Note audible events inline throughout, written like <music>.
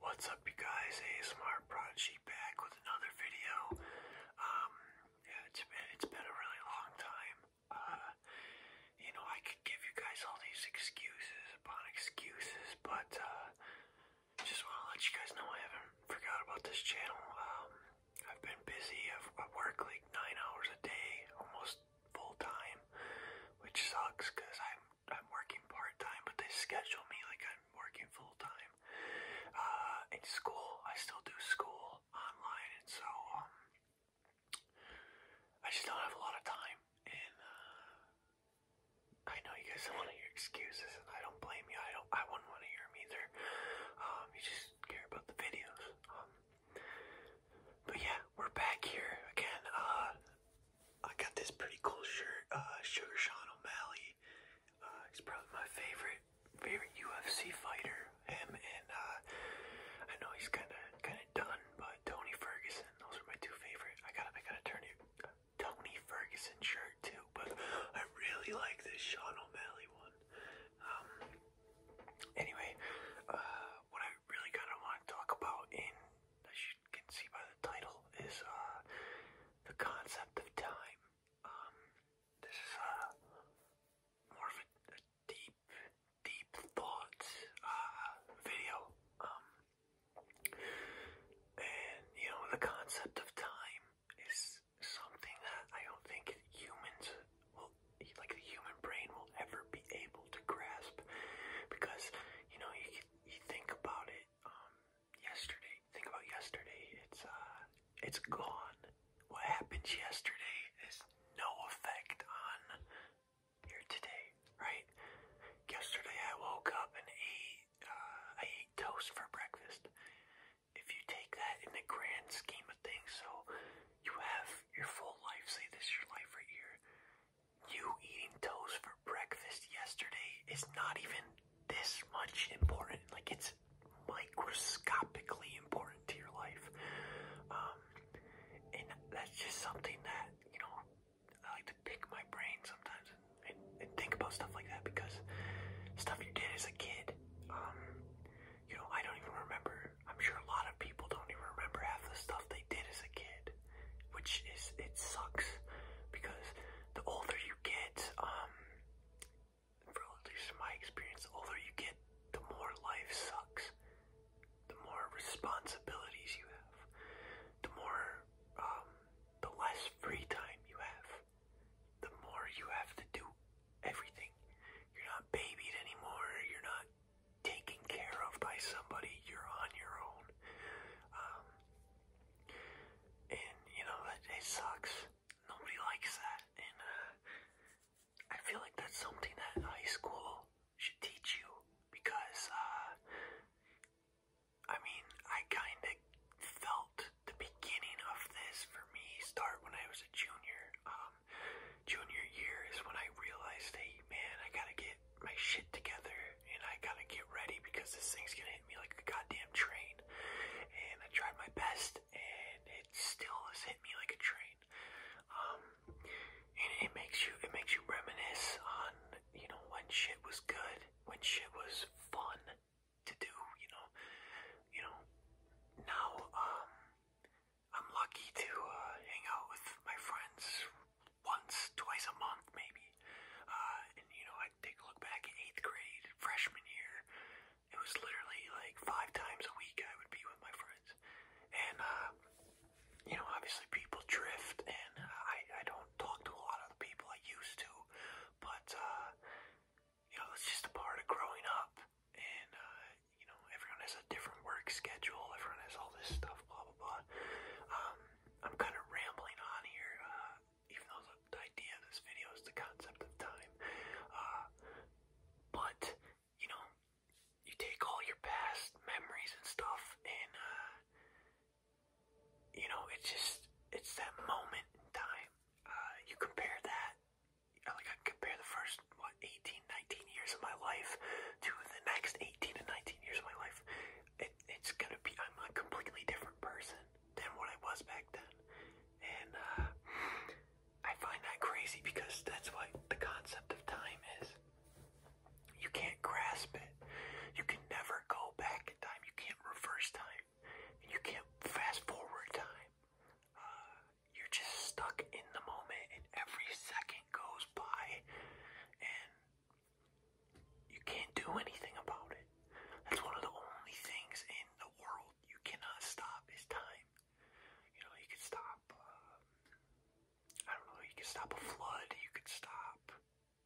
What's up you guys, ASMR Prodigy back with another video. Um, yeah, it's been, it's been a really long time. Uh, you know, I could give you guys all these excuses upon excuses, but uh, just want to let you guys know I haven't forgot about this channel. Um, I've been busy, i work like nine hours a day, almost full time, which sucks I'm I'm working part time, but they schedule me like I'm working full time. Uh, in school, I still do school online, and so um, I just don't have a lot of time. And uh, I know you guys don't want to hear excuses, and I don't blame you. I don't. I wouldn't want to hear them either. Um, you just care about the videos. Um, but yeah, we're back here again. Uh, I got this pretty cool shirt, uh, Sugar Sean O'Malley. Uh, he's probably my favorite favorite UFC fighter. Him and uh, I know he's kind of kind of done, but Tony Ferguson. Those are my two favorite. I gotta I gotta turn it. Tony Ferguson shirt too, but I really like this Sean O'Malley one. Um, anyway, uh, what I really kind of want to talk about in the can see by the title is uh, the concept of time. Um, this is uh, more of a, deep, deep thought uh, video. Um, and you know, the concept of time is something that I don't think humans will, like the human brain, will ever be able to grasp because you know, you you think about it, um, yesterday, think about yesterday, it's, uh, it's gone. What happened yesterday is no effect on your today, right? Yesterday I woke up and ate, uh, I ate toast for breakfast. If you take that in the grand scheme of things, so you have your full life, say this your life right here, you eating toast for breakfast yesterday is not even this much important. Like, it's microscopically important to your life. Um, and that's just something that, you know, I like to pick my brain sometimes and, think about stuff like that because stuff you did as a kid, um, you know, I don't even remember. I'm sure a lot of people don't even remember half the stuff they did as a kid which is it sucks because the older you get, um, for at least my experience, the older you get, the more life sucks. The more responsibilities you have, the more, um, the less free time you have, the more you have to do everything. You're not babied anymore. You're not taken care of by somebody, you're on your own. Um, and, you know, it, it sucks. Nobody likes that. And uh, I feel like that's something that high school should teach you because, uh, I mean, I kind of felt the beginning of this for me start when I was a junior. Um, junior year is when I realized, hey, man, I gotta get my shit together and I gotta get ready because this thing's gonna hit me like a goddamn train. And I tried my best and it still has hit me like a train. Um and it makes you it makes you reminisce on, you know, when shit was good, when shit was fun to do, you know. You know. Now, um I'm lucky to uh, hang out with my friends once, twice a month maybe. Uh, and you know, I take a look back at eighth grade, freshman year. It was literally like five times a week I would be with my friends. And, uh, you know, obviously people drift and I, I don't talk to a lot of the people I used to. But, uh, you know, it's just a part of growing up. And, uh, you know, everyone has different work schedule. Everyone has all this stuff. Blah blah blah. Um, I'm kind of rambling on here, uh, even though the idea of this video is the concept of time. Uh, but you know, you take all your past memories and stuff, and uh, you know, it's just it's that moment in time. you compare that. Like I compare the first what 18 19 years of my life to the next 18 and 19 years of my life, it's gonna be, I'm a completely different person than what I was back then. And uh, I find that crazy because that's what the concept of time is. You can't grasp it. You can never go back in time. You can't reverse time. And you can't fast forward time. Uh, you're just stuck in the moment, and every second goes by and you can't do anything about it. That's one of the only things in the world you cannot stop is time. You know, you could stop, uh, I don't know, you could stop a flood, you could stop,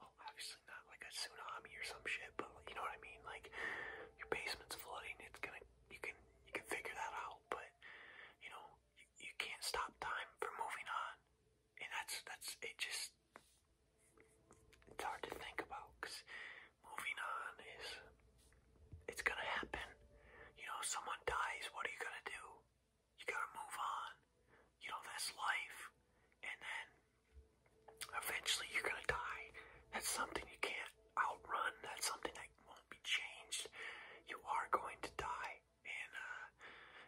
well, obviously not like a tsunami or some shit, but you know what I mean? Like, your basement's flooding, it's gonna, you can, you can figure that out, but, you know, you, can't stop time from moving on. And that's, that's, it just, it's hard to think about because moving on is, it's gonna happen. You know, someone dies, what are you gonna do? You gotta move on. You know, that's life. And then eventually you're gonna die. That's something you can't outrun. That's something that won't be changed. You are going to die and uh,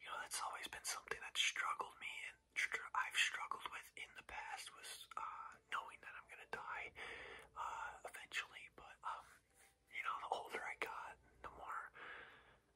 you know that's always been something that struggled me and str I've struggled with in the past was uh, knowing that I'm gonna die uh, eventually. But um, you know, the older I got, the more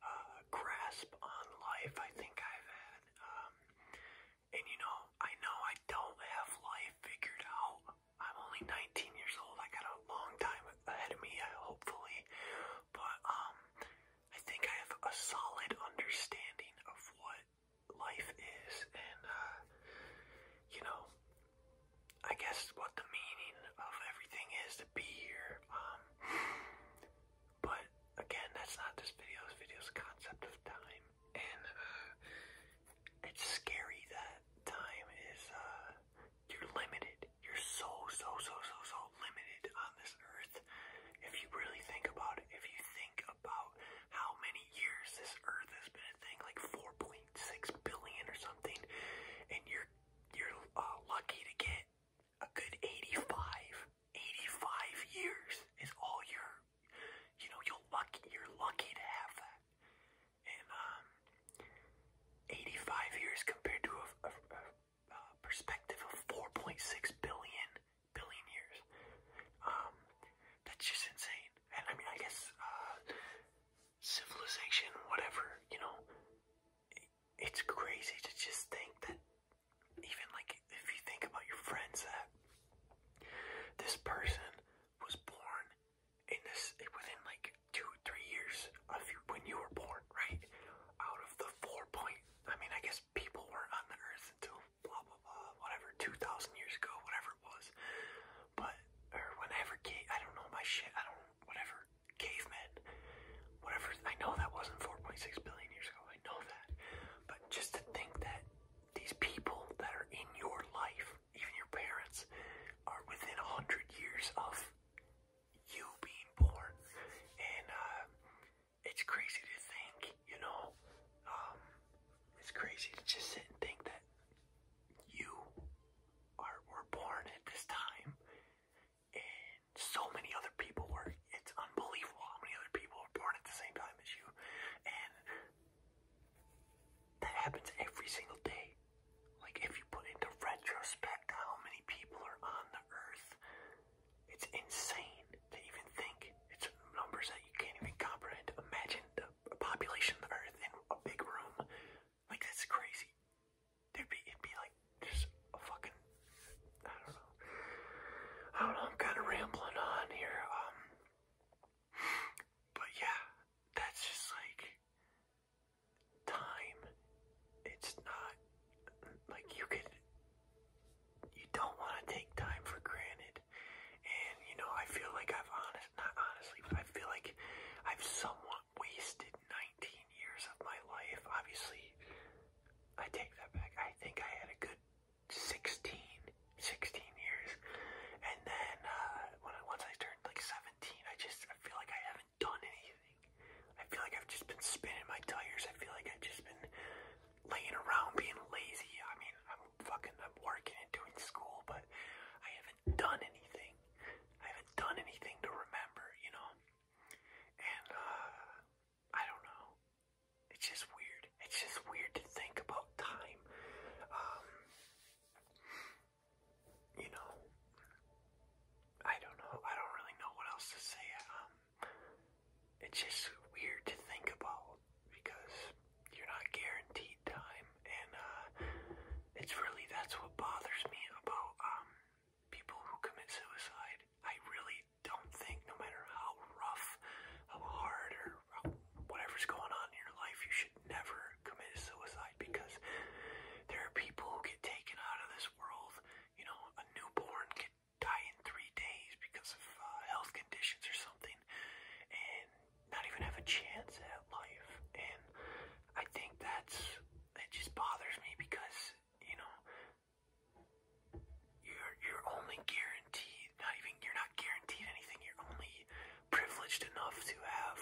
uh, grasp on life I think I've had. Um, and you know, I know I don't have life figured out. I'm only 19 years old. I got a long time ahead of me, uh, hopefully. But um I think I have a solid understanding of what life is and uh, you know I guess what the meaning of everything is to be here. Um but again that's not this video's video's concept of time and uh, it's scary that time is uh you're limited. You're so, so, so, so, so limited on this earth. If you really think about it, if you think about how many years this earth has been a thing, like 4.6 billion or something, and you're you're uh, lucky to get a good 85, 85 years is all you're, you know, you're lucky, you're lucky to have that in um, 85 years compared to a, perspective of 4.6 billion billion years. Um, that's just insane. And I mean, I guess uh, civilization, whatever, you know, it's crazy to just think that even like if you think about your friends that this person was born in this within like two, three years of when you were born, right? Out of the four point, I mean, I guess people weren't on the earth until blah blah blah, whatever, two thousand years ago, whatever it was. But or whenever, I don't know my shit. I don't whatever cavemen, whatever. I know that wasn't four point six billion years ago. I know that, but just to think that these people that are in your life even your parents, are within a hundred years of you being born, and uh, it's crazy to think, you know, um, it's crazy to just sit and think that you are were born at this time, and so many other people were. It's unbelievable how many other people were born at the same time as you, and that happens every single day like if you put into retrospect how many people are on the earth, it's insane to even think. It's numbers that you can't even comprehend. Imagine the population of the earth in a big room. Like that's crazy. There'd be it'd be like just a fucking I don't know. I don't know, I'm kinda rambling on here. Um <sighs> but yeah, that's just like time. It's not like you could you don't want to take time for granted. And you know, I feel like I've honest not honestly, but I feel like I've somewhat wasted 19 years of my life. Obviously, I take that back. I think I had a good 16 16 years and and then uh, I, once I turned like 17, I just I feel like I haven't done anything. I feel like I've just been spinning my tires. I feel like I've just been laying around being lazy. I mean, I'm fucking I'm working and doing school, but I haven't done anything. I haven't done anything to remember, you know. And uh, I don't know. It's just weird. It's just weird to think about time. Um, you know, I don't know. I don't really know what else to say. Um, it's just weird to think about because you're not guaranteed time, and uh, it's really that's what bothers me about um people who commit suicide. I really don't think, no matter how rough, how hard, or how whatever's going on in your life, you should never commit suicide because there are people who get taken out of this world. You know, a newborn can die in three days because of uh, health conditions or something, and not even have a chance at life. And I think that's it. Just bothers me because you know you're you're only guaranteed. Not even you're not guaranteed anything. You're only privileged enough to have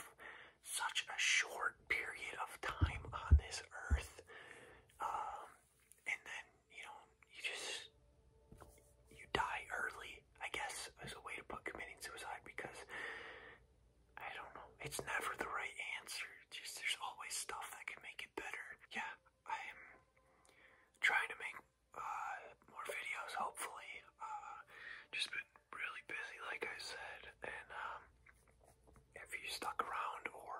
such a short period of time on this earth. Um, and then, you know, you just, you die early, I guess, as a way to put committing suicide because, I don't know, it's never the right answer. Just, there's always stuff that can make it better. Yeah, I'm trying to make uh, more videos, hopefully. Uh, just been really busy, like I said, and um, if you stuck around or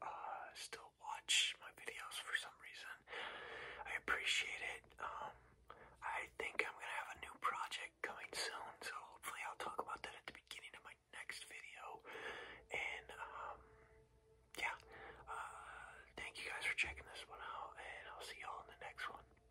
uh, still watch my videos for some reason, I appreciate it. Um, I think I'm gonna have a new project coming soon, so hopefully I'll talk about that at the beginning of my next video. And um, yeah, uh, thank you guys for checking this one out, and I'll see y'all in the next one.